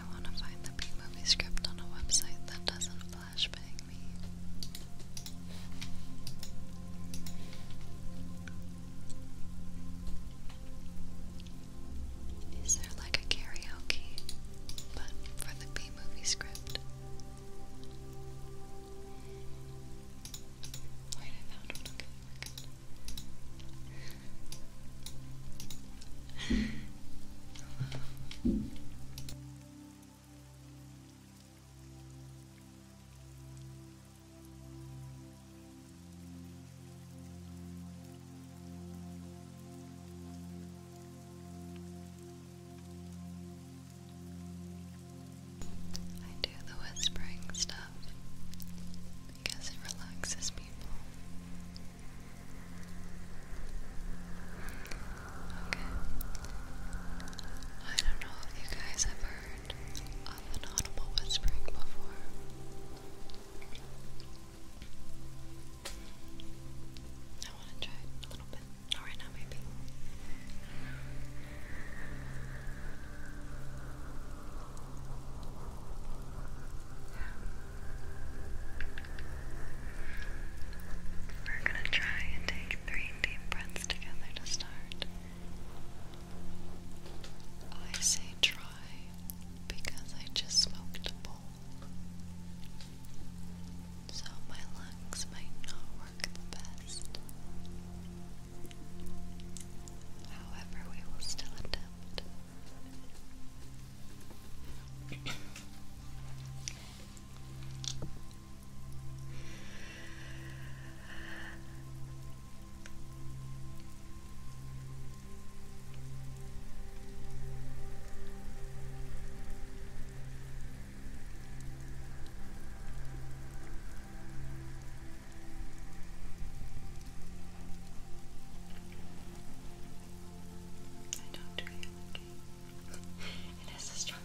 I want to find the B movie script on a website that doesn't flashbang me. Is there like a karaoke, but for the B movie script? Wait, I found one. Okay, we I do the whispering stuff because it relaxes people. Okay. I don't know if you guys ever heard of an audible whispering before. I want to try a little bit. Not now, maybe. We're going to try and take three deep breaths together to start. I say try because I just smoked a bowl. So my lungs might not work the best. However, we will still attempt. I don't do it okay. it is a struggle.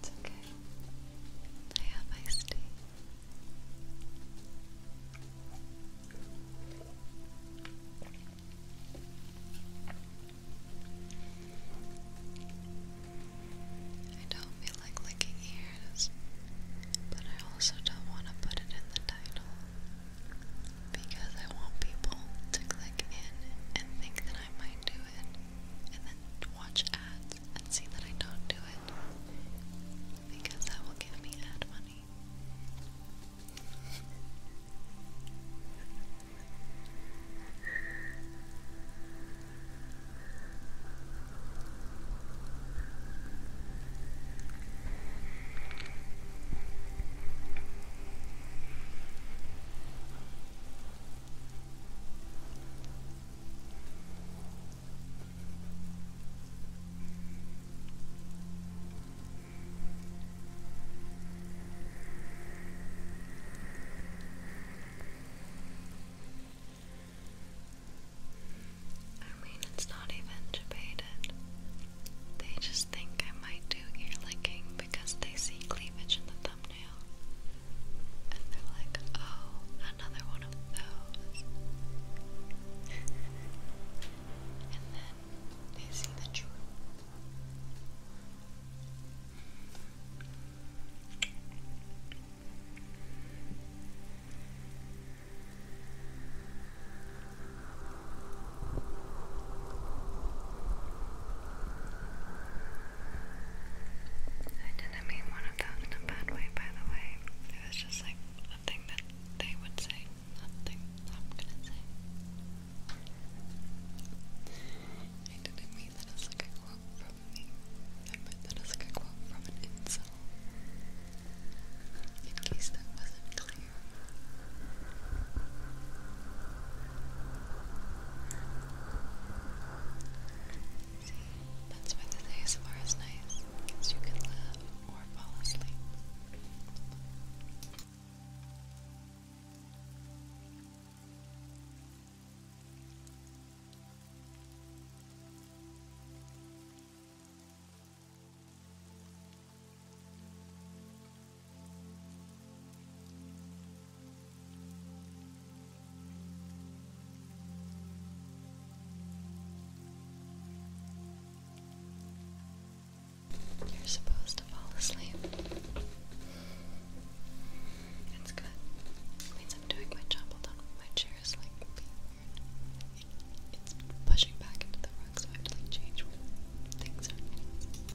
It's okay. I have iced tea. I don't feel like licking ears, but I also don't want to put it in the title because I want people to click in and think that I might do it and then watch ads and see that I don't do it because that will give me ad money. I mean, it's not even debated. They just think I might do ear licking because they see cleavage in the thumbnail and they're like, oh, another one of those. and then they see the truth. I didn't mean one of them in a bad way, by the way. It was just like a thing that they would say, not I'm gonna say. I didn't mean that as like a quote from me. I meant that as like a quote from an incel. In case that wasn't clear that's why the ASMR is nice, as you can laugh or fall asleep. You're supposed to fall asleep. It's good. means I'm doing my job. Hold on. My chair is like pushing back into the rug, I have to like change where things are.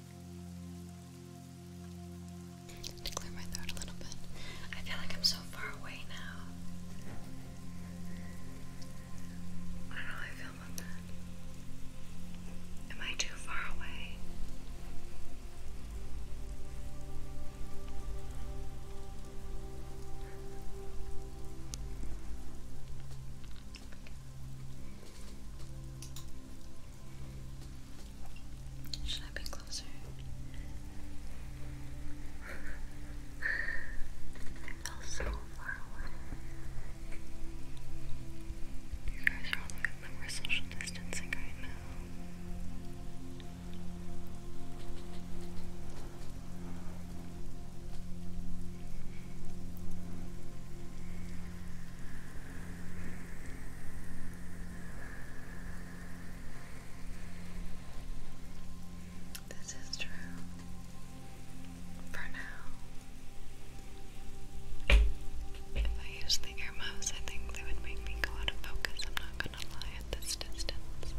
To clear my throat a little bit. I feel like I'm so far away now. I don't know how I feel about that. Am I too far away? Okay. Should I be closer? I fell so far away. You guys are all the way social distancing right now. This is true for now. If I use the ear mouse, I think they would make me go out of focus. I'm not gonna lie at this distance.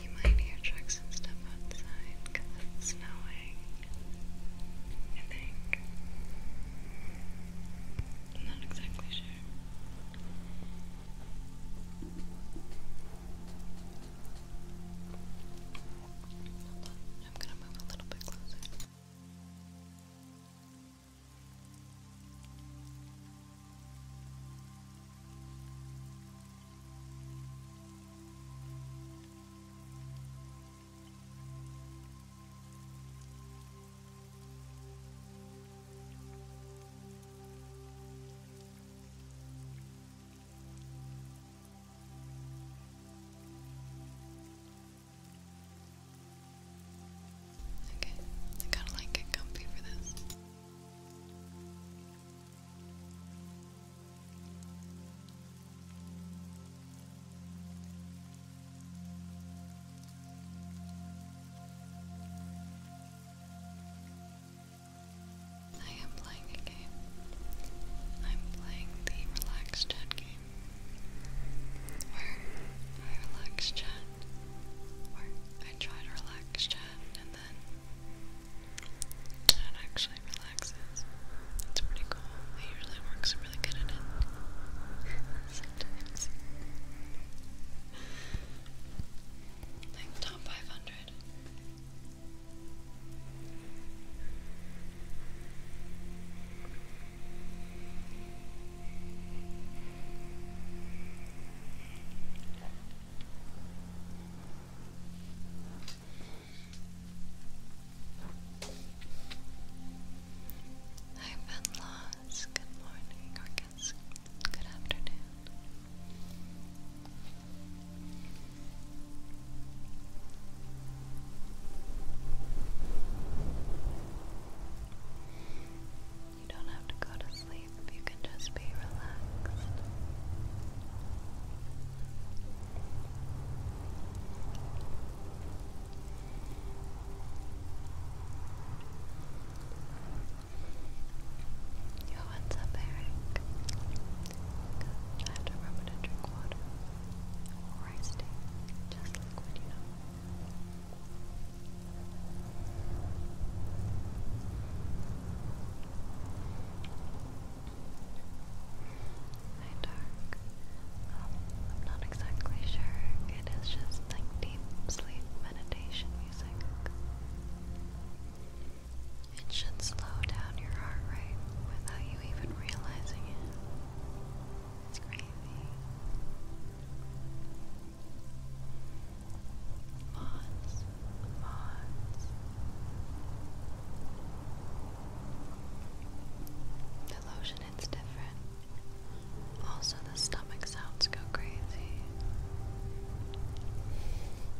You might hear trucks and stuff outside it's snowing. I think. I'm not exactly sure. I'm gonna move a little bit closer. Okay, Okay, I gotta like get comfy for this. Okay. I am playing a game. I'm playing the relaxed chat game. Where I relax chat. Or I try to relax chat and then chat actually relaxes. It's pretty cool. It usually works really good at it. Like top 500. I've been lost. Good morning, or good afternoon. You don't have to go to sleep, you can just be relaxed. Yo, what's up, Eric? I have to remember to drink water. Or I stay just liquid, you know. Hi, Dark. Um, I'm not exactly sure. It is just like deep sleep meditation music. It should slow down your heart rate without you even realizing it. It's crazy. Moths, moths. The lotion it's different. Also the stomach sounds go crazy.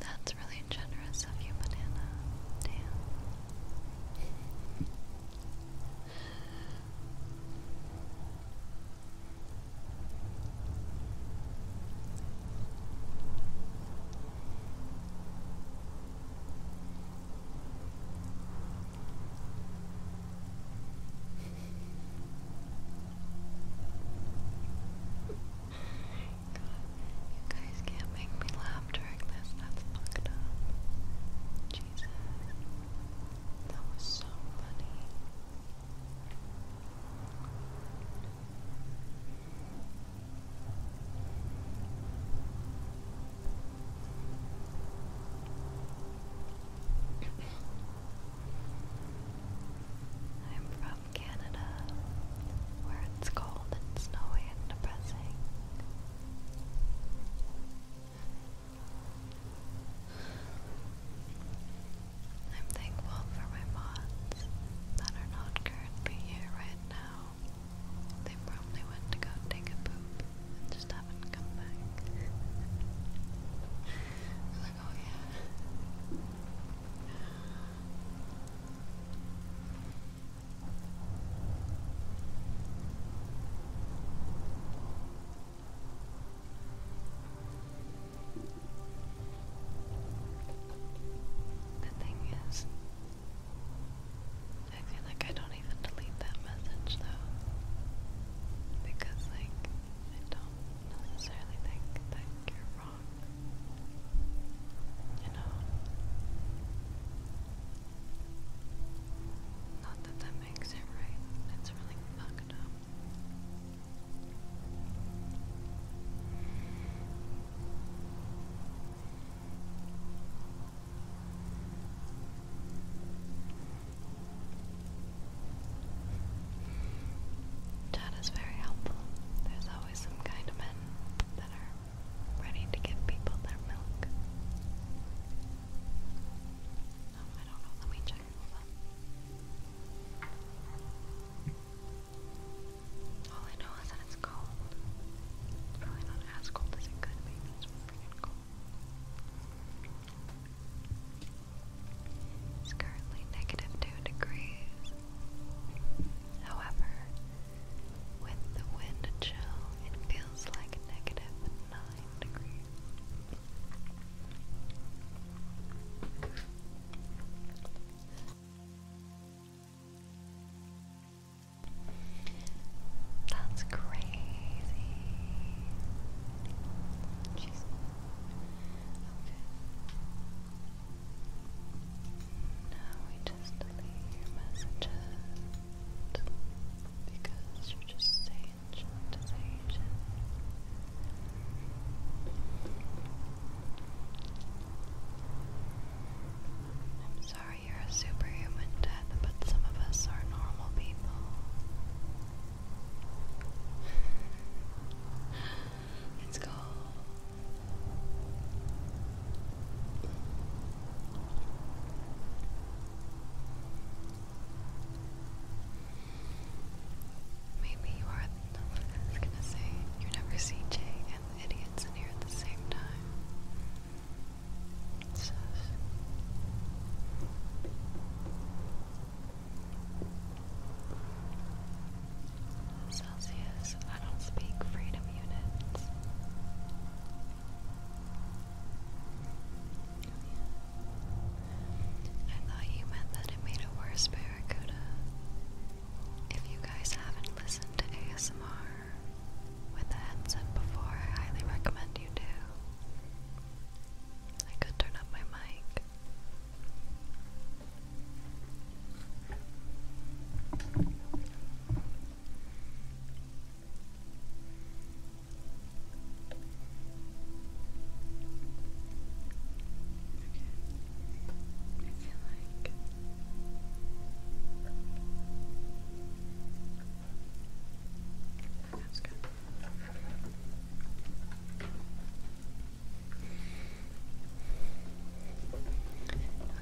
That's really generous of you, banana. Damn. You guys can't make me laugh during this. That's fucked up. Jesus. That was so funny. I'm from Canada, where it's cold and snowy and depressing. I'm thankful for my mods that are not currently here right now. They probably went to go take a poop and just haven't come back. like, oh yeah. The thing is, I feel like I don't even delete that message though, because like I don't necessarily think that you're wrong, you know. Not that that makes it right. It's really fucked up. Chat is very helpful. There's always some kind of men that are ready to give people their milk. Oh, I don't know. Let me check. All I know is that it's cold. It's probably not as cold as it could be, it's freaking cold. It's currently negative two degrees. However, with the wind chill, it feels like negative 9 degrees. That's crazy. Now we just leave your messages because you're just saying destination. I'm sorry you're a superhuman, Death, but some of us are normal people. Let's go. Maybe you are. No, I was gonna say you never see Jay and the idiots in here at the same time. Celsius, I don't speak freedom units. I thought you meant that it made it worse barracuda. If you guys haven't listened to ASMR with a headset before, I highly recommend you do. I could turn up my mic. I feel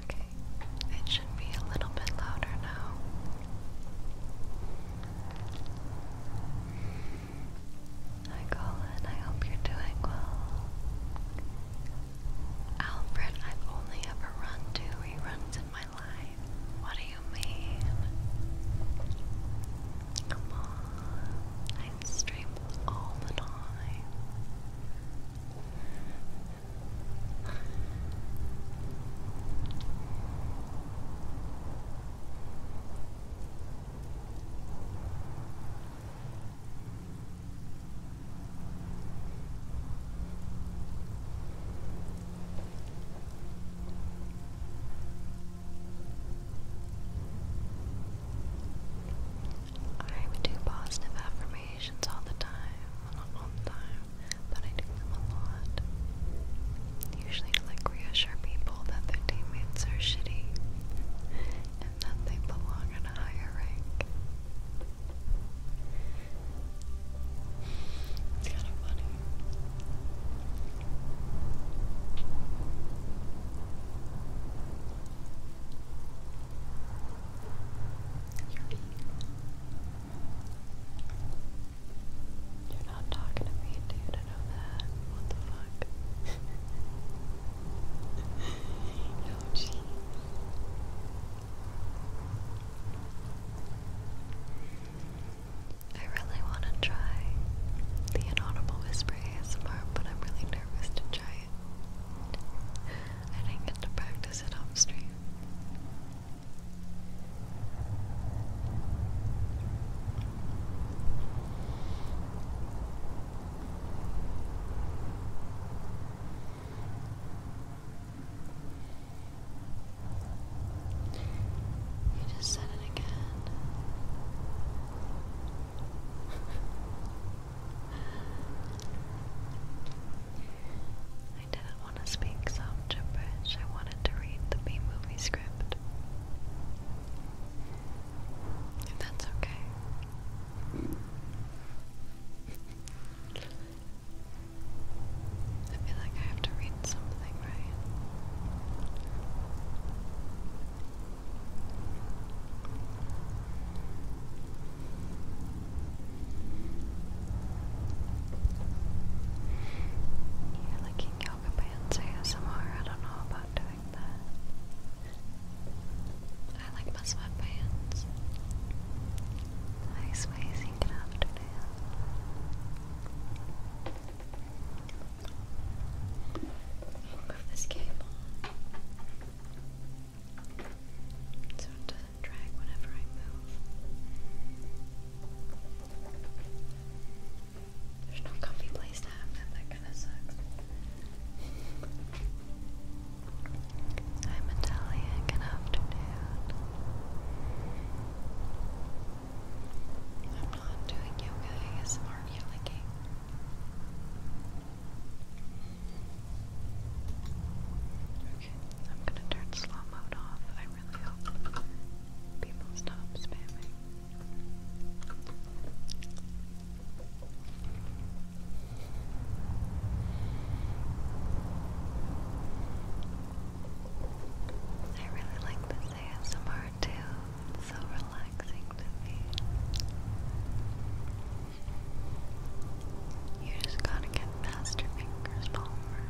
Okay, it should be a little bit louder now. Hi Colin, I hope you're doing well. Alfred, I've only ever run two reruns in my life. What do you mean? Come on, I stream all the time. I would do positive affirmations all the time. not all the time, but I do them a lot. Usually to like reassure people that their teammates are shitty and that they belong in a higher rank. It's kind of funny. You're not talking to me, dude. I know that. What the fuck? no, jeez. I really want to try the inaudible whisper ASMR, but I'm really nervous to try it. I didn't get to practice it off stream. You just said it again. I did it want to speak soft gibberish. I wanted to read the B movie script. that's okay. I feel like I have to read something, right? You're lucky yoga pants ASMR. I don't know about doing that. I like my sweatpants. Nice amazing good afternoon. Move this cable so it doesn't drag whenever I move. There's no comfy place to have that. That kind of sucks. Hi, Natalia. Good afternoon. I'm not doing yoga ASMR yet, licking. Okay, I'm gonna turn slow mode off really hope people stop spamming. I really like this ASMR too. so relaxing to me. You just gotta get faster fingers, Palmer.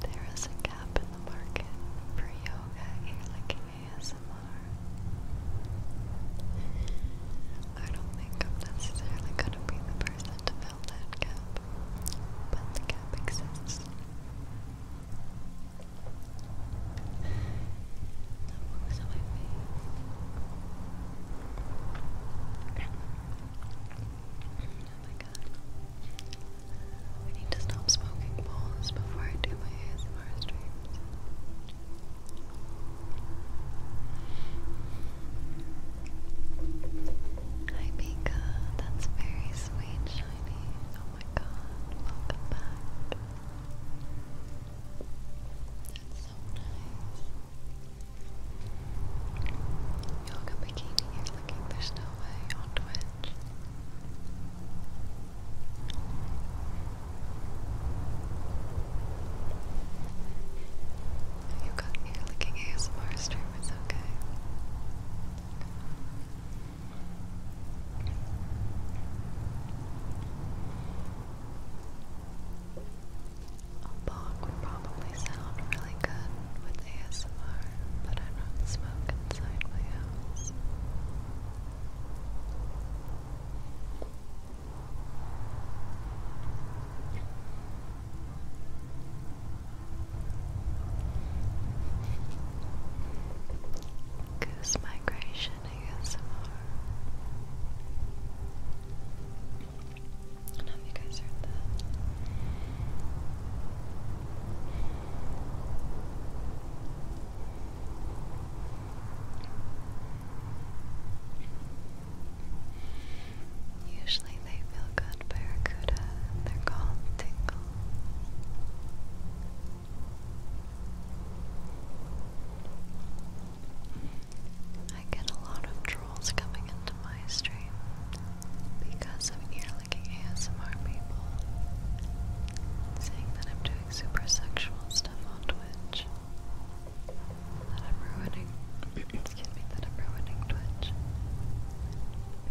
There is a gap in the market for yoga earlicking ASMR. I don't think I'm necessarily going to be the person to fill that gap, but the gap exists. Oh my god. I need to stop smoking bowls before I do my ASMR streams. Hi Mika, that's very sweet, Shiny. Oh my god, welcome back. That's so nice. Yoga bikini, you there's no way on Twitch. You got me looking ASMR stream, it's okay. A bog would probably sound really good smoke inside my house. Goose migration ASMR. I do you guys heard that. Usually they feel good barracuda they're called tingle. I get a lot of trolls coming into my stream because of ear-licking ASMR people saying that I'm doing super sexual stuff on Twitch. That I'm ruining excuse me, that I'm ruining Twitch.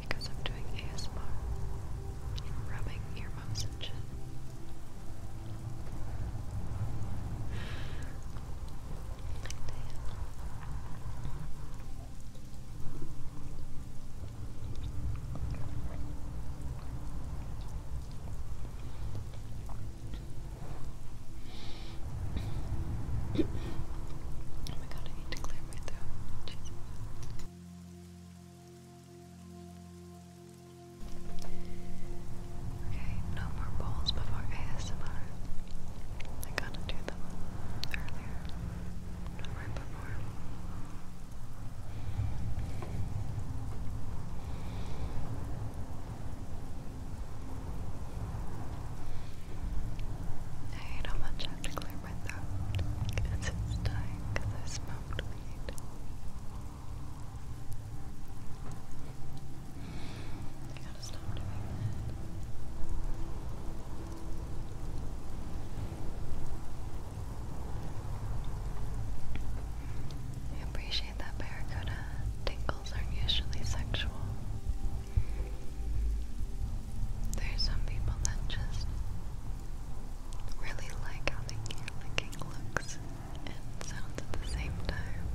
Because I'm doing ASMR. Rubbing earmuffs and shit oh my god, I need to clear my throat. Okay, no more bowls before ASMR. I gotta do them earlier right before. I hate how much I have to clear my throat. It's just because I smoked weed. I gotta stop doing that. I appreciate that barracuda. Tingles are usually sexual. There's some people that just really like how the ear looks and sounds at the same time.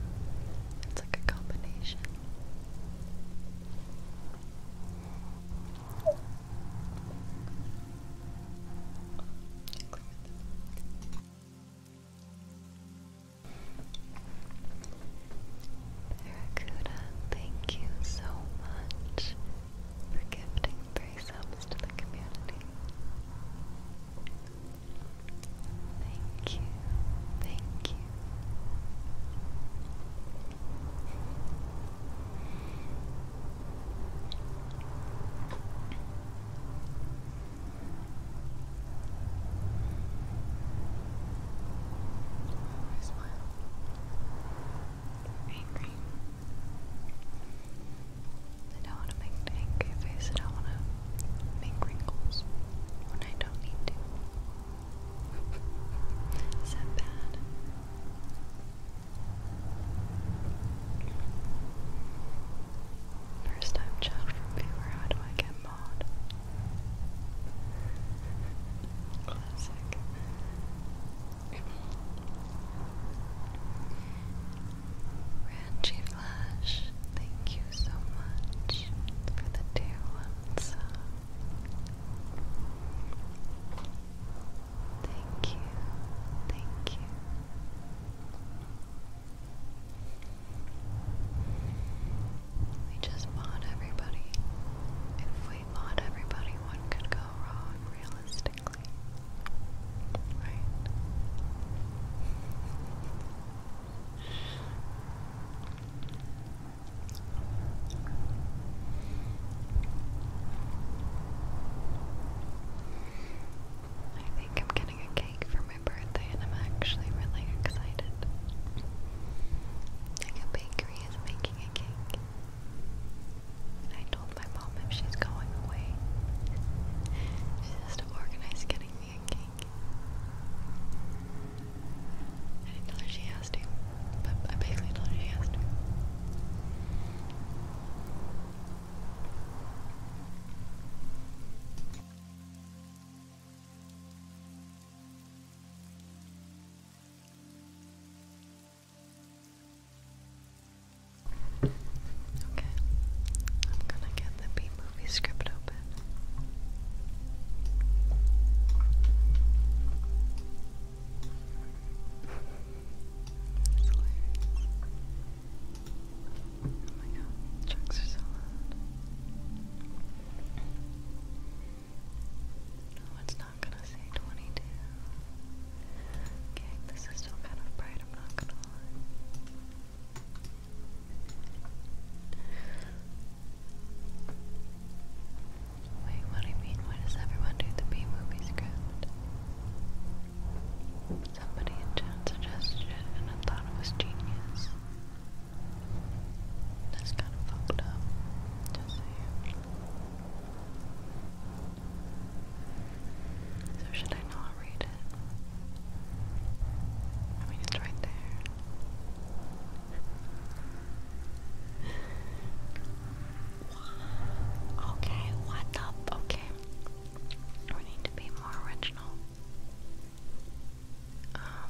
It's like a combination. Barracuda, thank you so much for gifting free to the community. Thank you, thank you. I smile. Angry. I don't want to make angry face. I don't want to make wrinkles when I don't need to. Is bad? First time child viewer, how do I get mod? Classic. Ranchi Flash, thank you so much for the dear ones. Thank you, thank you. We just bought everybody. If we bought everybody, what could go wrong realistically? Right? I think I'm getting a cake for my birthday, and I'm actually really excited. Like a bakery is making a cake. I told my mom if she's going away, she has to organize getting me a cake. I didn't tell her she has to, but I basically told her she has to. Okay, I'm gonna get the B movie script open open. it's Oh my god, trucks are so loud. No, it's not gonna say 22. Okay, this is still kind of bright, I'm not gonna lie. Wait, what do you mean? Why does everyone do the B movie script? Somebody in suggested it and I thought it was genius. That's kind of fucked up. So should I not read it? I mean, it's right there. Okay, what up? Okay. We need to be more original. Um,